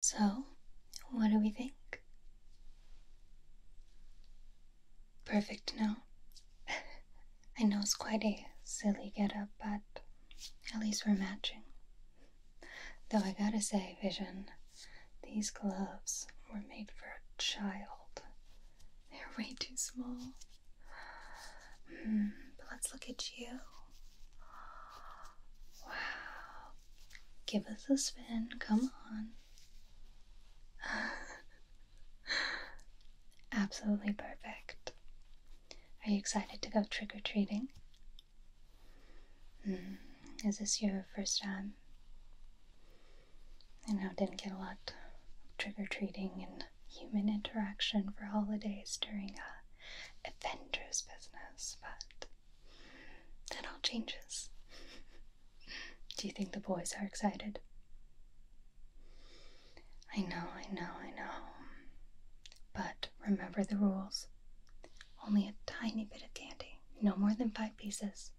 So, what do we think? Perfect, no? I know it's quite a silly get-up, but at least we're matching. Though I gotta say, Vision, these gloves were made for a child. They're way too small. Mm, but let's look at you. Wow, Give us a spin, come on. Absolutely perfect. Are you excited to go trick or treating? Hmm, is this your first time? I know, didn't get a lot of trick or treating and human interaction for holidays during a uh, adventurous business, but that all changes. Do you think the boys are excited? I know, I know, I know. But remember the rules. Only a tiny bit of candy, no more than five pieces,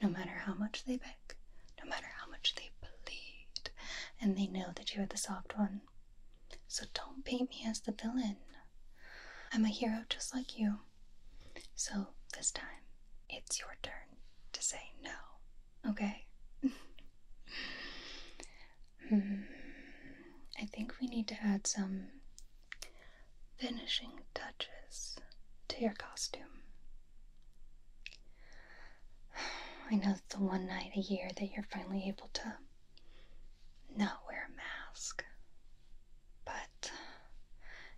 no matter how much they beg, no matter how much they plead, and they know that you are the soft one. So don't paint me as the villain. I'm a hero just like you. So this time, it's your turn to say no, okay? hmm. I think we need to add some finishing touches to your costume. I know it's the one night a year that you're finally able to not wear a mask. But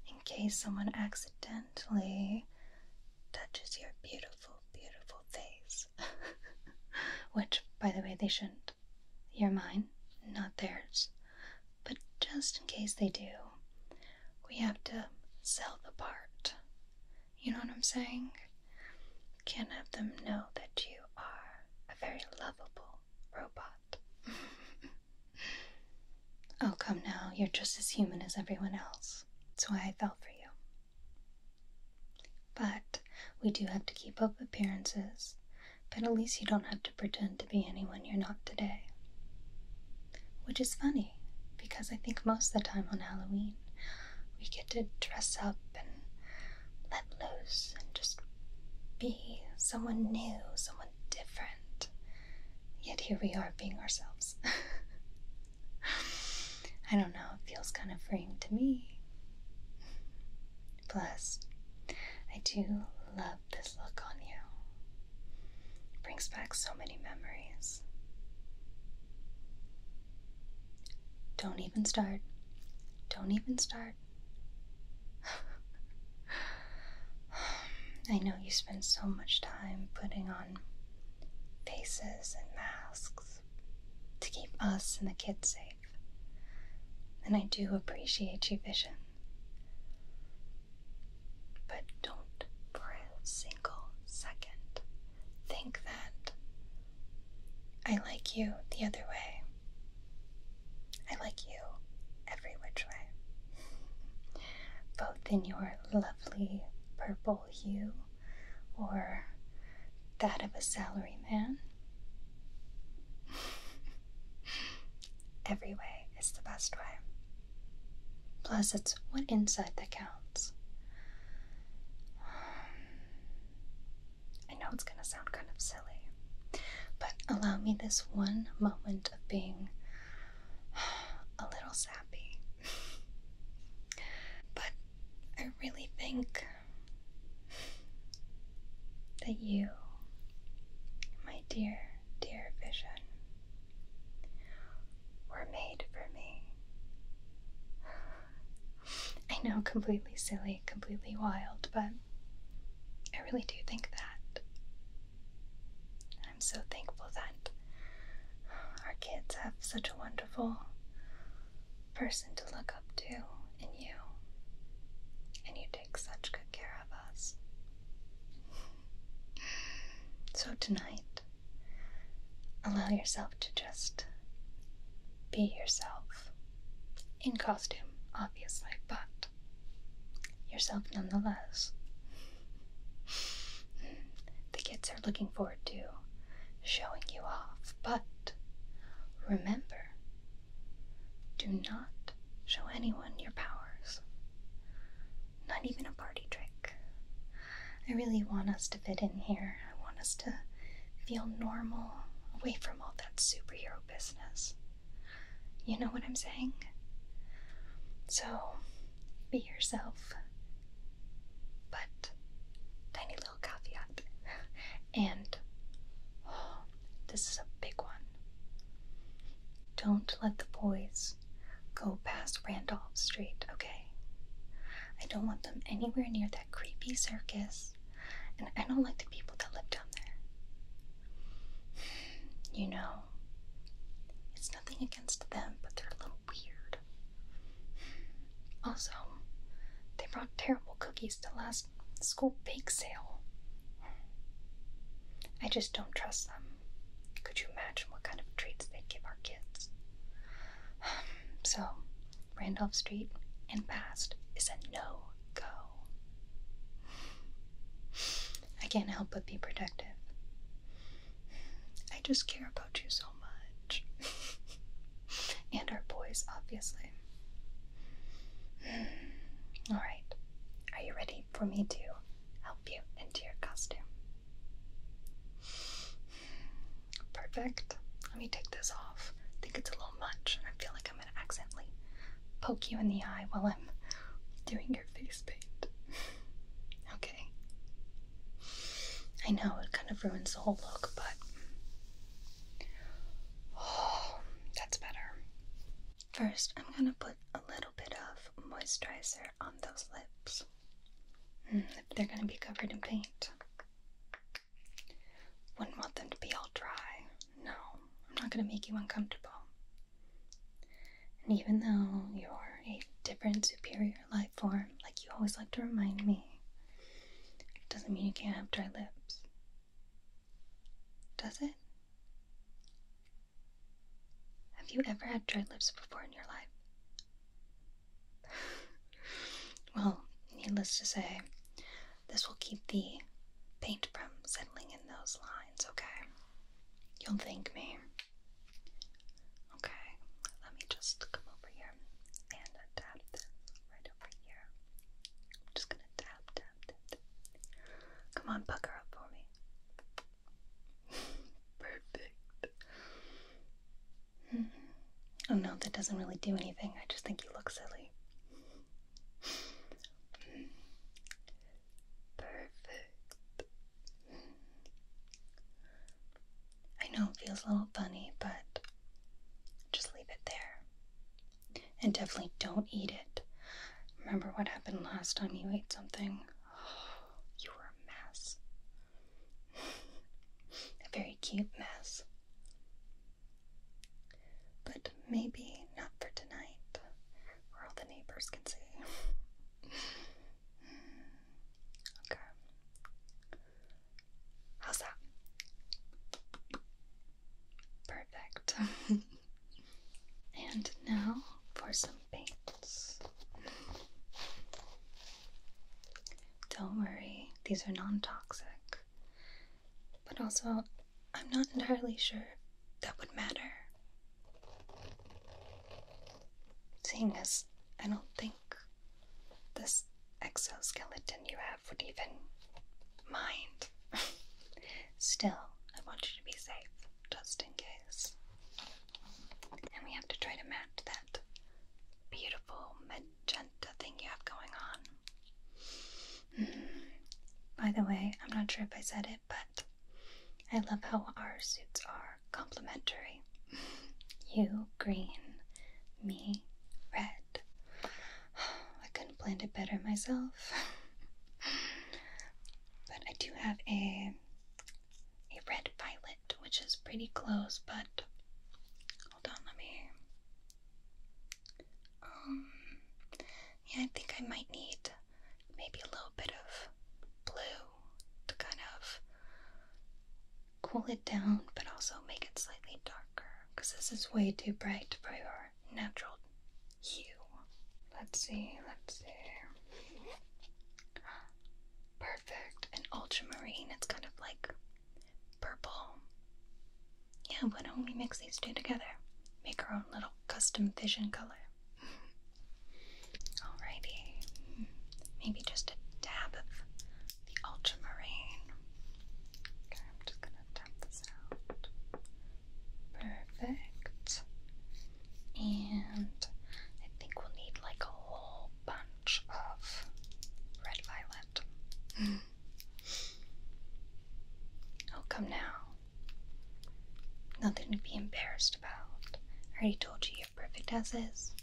in case someone accidentally touches your beautiful, beautiful face, which, by the way, they shouldn't, you're mine, not theirs. But just in case they do, we have to sell the part. You know what I'm saying? Can't have them know that you are a very lovable, robot. oh, come now, you're just as human as everyone else. That's why I fell for you. But we do have to keep up appearances, but at least you don't have to pretend to be anyone you're not today. Which is funny, because I think most of the time on Halloween, we get to dress up and let loose and just be someone new, someone different. Yet here we are being ourselves. I don't know, it feels kind of freeing to me. Plus, I do love this look on you. brings back so many memories. Don't even start. Don't even start. I know you spend so much time putting on faces and masks to keep us and the kids safe, and I do appreciate your vision. But don't for a single second think that I like you the other way. I like you every which way. Both in your lovely purple hue or that of a salaryman. every way is the best way. Plus, it's what inside that counts. I know it's gonna sound kind of sad. But allow me this one moment of being a little sappy. but I really think that you, my dear, dear vision, were made for me. I know, completely silly, completely wild, but I really do think that. I'm so thankful that our kids have such a wonderful person to look up to in you. And you take such good care of us. So tonight, allow yourself to just be yourself in costume, obviously, but yourself nonetheless. The kids are looking forward to showing you off, but remember do not show anyone your powers, not even a party trick. I really want us to fit in here, I want us to feel normal away from all that superhero business. You know what I'm saying? So be yourself. But tiny little caveat. and this is a big one. Don't let the boys go past Randolph Street, okay? I don't want them anywhere near that creepy circus, and I don't like the people that live down there. You know, it's nothing against them, but they're a little weird. Also, they brought terrible cookies to last school bake sale. I just don't trust them. Could you imagine what kind of treats they give our kids? So, Randolph Street and past is a no go. I can't help but be protective. I just care about you so much. and our boys, obviously. Alright, are you ready for me to help you into your costume? Perfect. Let me take this off. I think it's a little much. I feel like I'm accidentally poke you in the eye while I'm doing your face paint. okay. I know it kind of ruins the whole look, but that's better. First, I'm gonna put a little bit of moisturizer on those lips. Mm, they're gonna be covered in paint. Wouldn't want them to be all dry. No, I'm not gonna make you uncomfortable. And even though you're a different superior life form, like you always like to remind me, it doesn't mean you can't have dry lips. Does it? Have you ever had dry lips before in your life? well, needless to say, this will keep the paint from settling in those lines, okay? You'll thank me. Okay, let me just come over here and tap this right over here. I'm just gonna tap, tap, tap. Come on, pucker up for me. Perfect. Oh no, that doesn't really do anything. I just think you look silly. Perfect. I know it feels a little funny, but just leave it there. And definitely don't eat it. Remember what happened last time you ate something? you were a mess. a very cute mess. But maybe not for tonight where all the neighbors can see. Hmm. okay. How's that? Perfect. and now for some paints. Don't worry, these are non toxic, but also I'm not entirely sure that would matter. Seeing as I don't think this exoskeleton you have would even mind. Still, I want you to be safe, just in case. And we have to try to match that beautiful magenta thing you have going on. Hmm. By the way, I'm not sure if I said it but I love how our suits are complementary. you green, me red. I couldn't blend it better myself. but I do have a a red violet, which is pretty close, but hold on, let me um, yeah, I think I might need maybe a little bit of blue to kind of cool it down, but also make it slightly darker because this is way too bright for your natural hue. Let's see, let's see. Perfect. An ultramarine, it's kind of like purple. Yeah, why don't we mix these two together? Make our own little custom vision color. Alrighty. Maybe just a dab of the ultramarine. Okay, I'm just gonna tap this out. Perfect. And I think we'll need like a whole bunch of red violet. oh, come now. Nothing to be embarrassed about. I already told you you're perfect as is.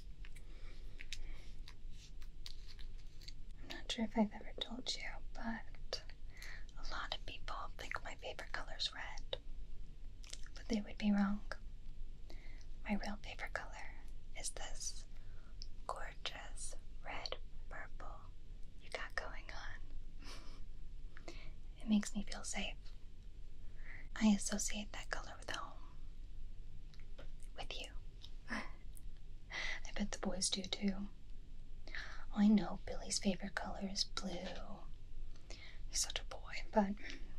I'm not sure if I've ever told you, but a lot of people think my favorite color is red, but they would be wrong. My real favorite color is this gorgeous red purple you got going on. It makes me feel safe. I associate that color with home. With you. I bet the boys do too. I know Billy's favorite color is blue. He's such a boy, but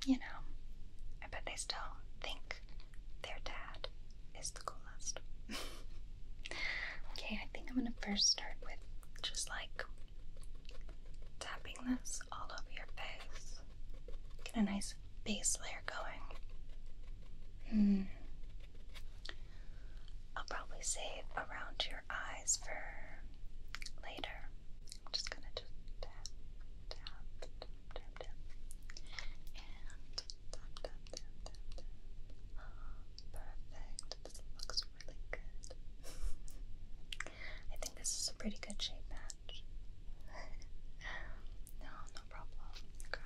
you know, I bet they still think their dad is the coolest. okay, I think I'm gonna first start with just like Tapping this all over your face. Get a nice base layer going. Hmm. I'll probably save around your eyes for later. I'm just gonna tap, tap, tap, tap, And perfect. This looks really good. I think this is a pretty good shape match. no, no problem. Okay.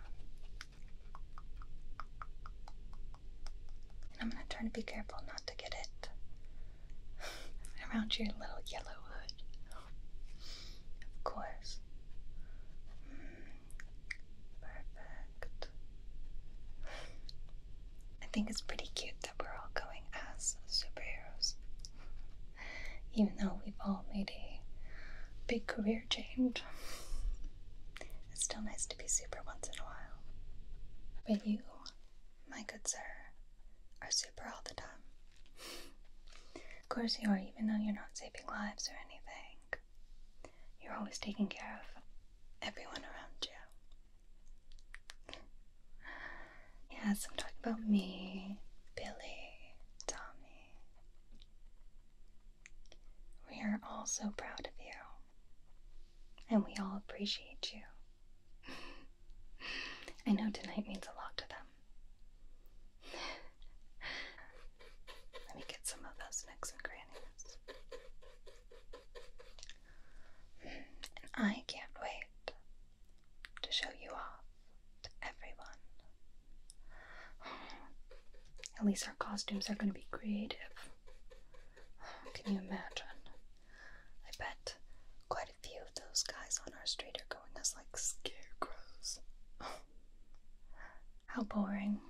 I'm gonna try to be careful not to get it around your little yellow hood. Of course. Hmm. perfect. I think it's pretty cute that we're all going as superheroes. Even though we've all made a big career change, it's still nice to be super once in a while. But you, my good sir, are super all the time. Of course, you are, even though you're not saving lives or anything. You're always taking care of everyone around you. Yes, I'm talking about me, Billy, Tommy. We are all so proud of you. And we all appreciate you. I know tonight means a lot to them. Let me get some of those necks and crannies. I can't wait to show you off to everyone. At least our costumes are going to be creative. Can you imagine? I bet quite a few of those guys on our street are going as like scarecrows. How boring.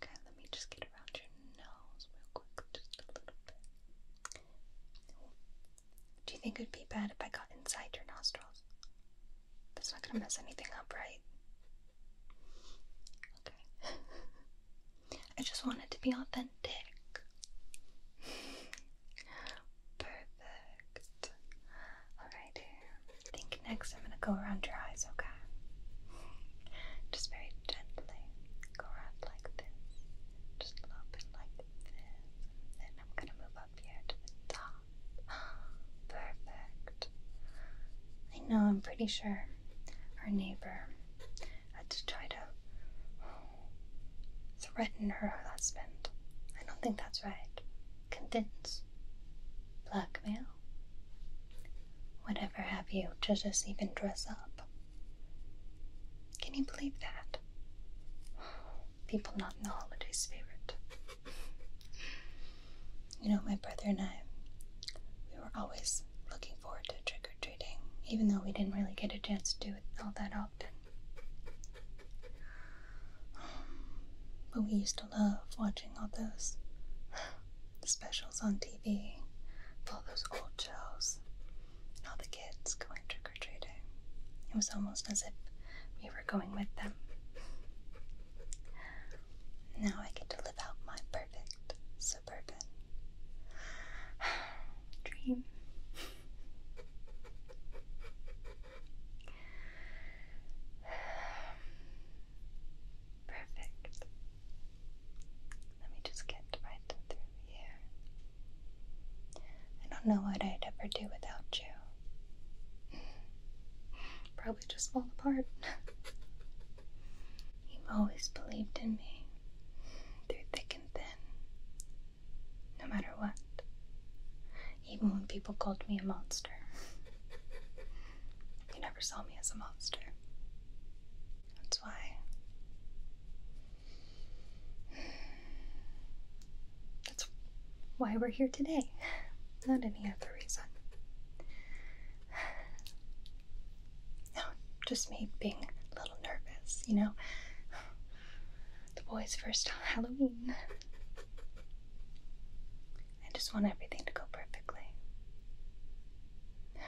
Okay, let me just get around your nose real quick, just a little bit. Do you think it would be bad if I got inside your nostrils? That's not gonna mess anything up, right? Okay. I just wanted to be authentic. Perfect. Alright, I think next I'm gonna go around your eyes, okay? Just very gently go around like this, just a little bit like this, then I'm gonna move up here to the top. Perfect. I know, I'm pretty sure our neighbor had to try to threaten her husband. I don't think that's right. Convince, blackmail, whatever have you, to just even dress up. Can you believe that? People not in the holiday spirit. You know, my brother and I, we were always looking forward to trick or treating, even though we didn't really get a chance to do it all that often. But we used to love watching all those the specials on TV, all those old shows, and all the kids going trick or treating. It was almost as if we were going with them. Now I get to live out my perfect suburban dream. Perfect. Let me just get right to through I don't know what I'd ever do without you. Probably just fall apart. You've always believed in me, through thick and thin, no matter what. Even when people called me a monster, you never saw me as a monster. That's why. That's why we're here today, not any other reason. No, just me being a little nervous, you know? The boys' first Halloween. I just want everything to go perfectly.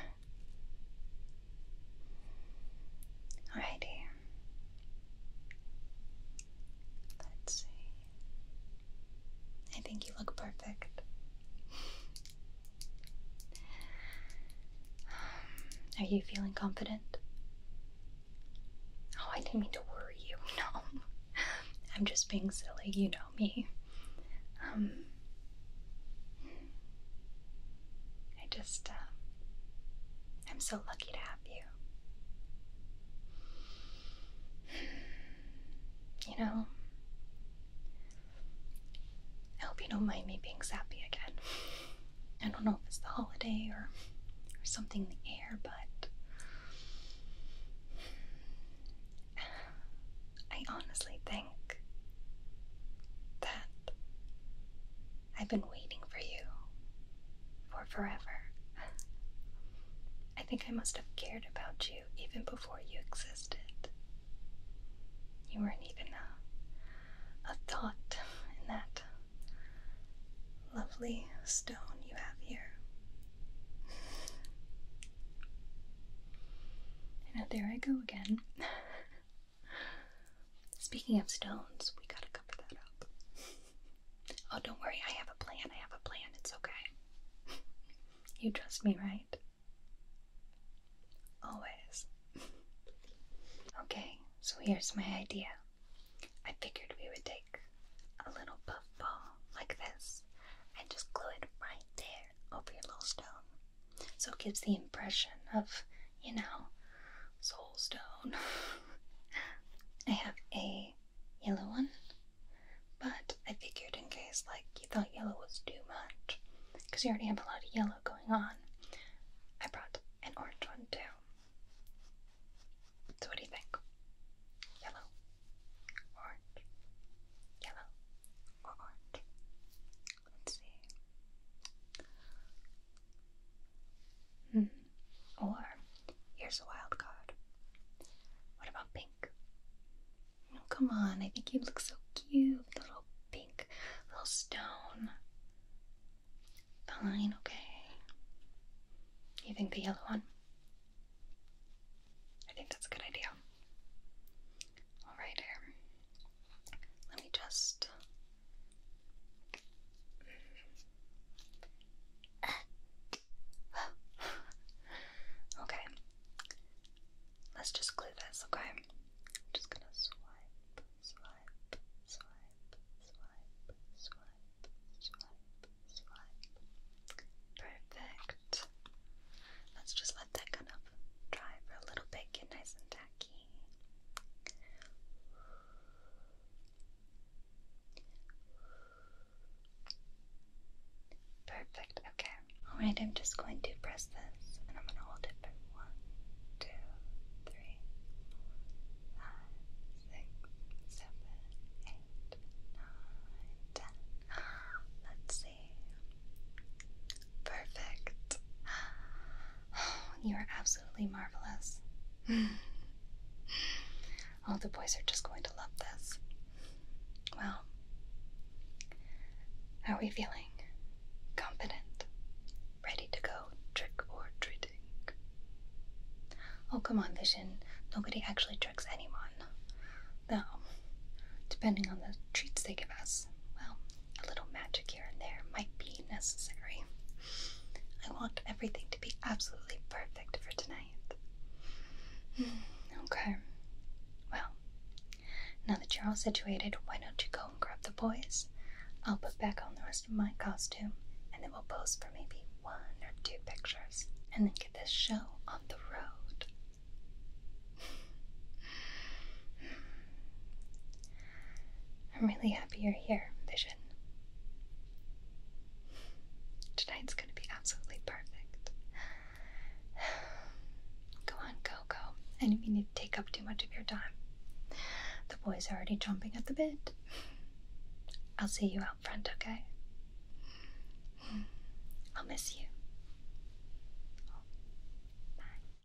Alrighty. Let's see. I think you look perfect. Um, are you feeling confident? Oh, I didn't mean to worry you. No. I'm just being silly, you know me. Um I just, uh, I'm so lucky to have you. You know, I hope you don't mind me being sappy again. I don't know if it's the holiday or, or something in the air, but I honestly think that I've been waiting for you for forever. I think I must have cared about you even before you existed. You weren't even a, a thought in that lovely stone you have here. And now there I go again. Speaking of stones, we gotta cover that up. oh, don't worry, I have a plan. I have a plan. It's okay. you trust me, right? Always. okay, so here's my idea. I figured we would take a little puff ball like this and just glue it right there over your little stone. So it gives the impression of, you know, soul stone. I have a yellow one, but I figured in case like you thought yellow was too much, because you already have a lot of yellow going on, I brought an orange one too. So what do you think? Yellow, orange, yellow, orange? Let's see. Hmm. Or here's a wild card. What about pink? Oh, come on, I think you look so cute. Little pink, little stone. Fine, okay. You think the yellow one? I think that's a good idea. Alright, here. Let me just. okay. Let's just glue this, okay? just gonna swipe, swipe, swipe, swipe, swipe, swipe, swipe. Perfect. Let's just let that kind of dry for a little bit, get nice and tacky. Perfect, okay. Alright, I'm just going to press this and I'm going to hold it for one, two, three, four, five, six, seven, eight, nine, ten. Let's see. Perfect. You are absolutely marvelous. All the boys are just going to love this. Well, are we feeling? Confident? Ready to go trick or treating? Oh, come on, Vision. Nobody actually tricks anyone. Though, depending on the treats they give us well, a little magic here and there might be necessary. I want everything to be absolutely perfect for tonight. Hmm, okay. Well, now that you're all situated, why don't you go and grab the boys? I'll put back on the rest of my costume and then we'll pose for maybe one or two pictures and then get this show on the road. Hmm. I'm really happy you're here, Vision. Tonight's gonna be absolutely perfect. Go on, go, go. And didn't mean to take up too much of your time. The boys are already jumping at the bit. I'll see you out front, okay? I'll miss you. bye.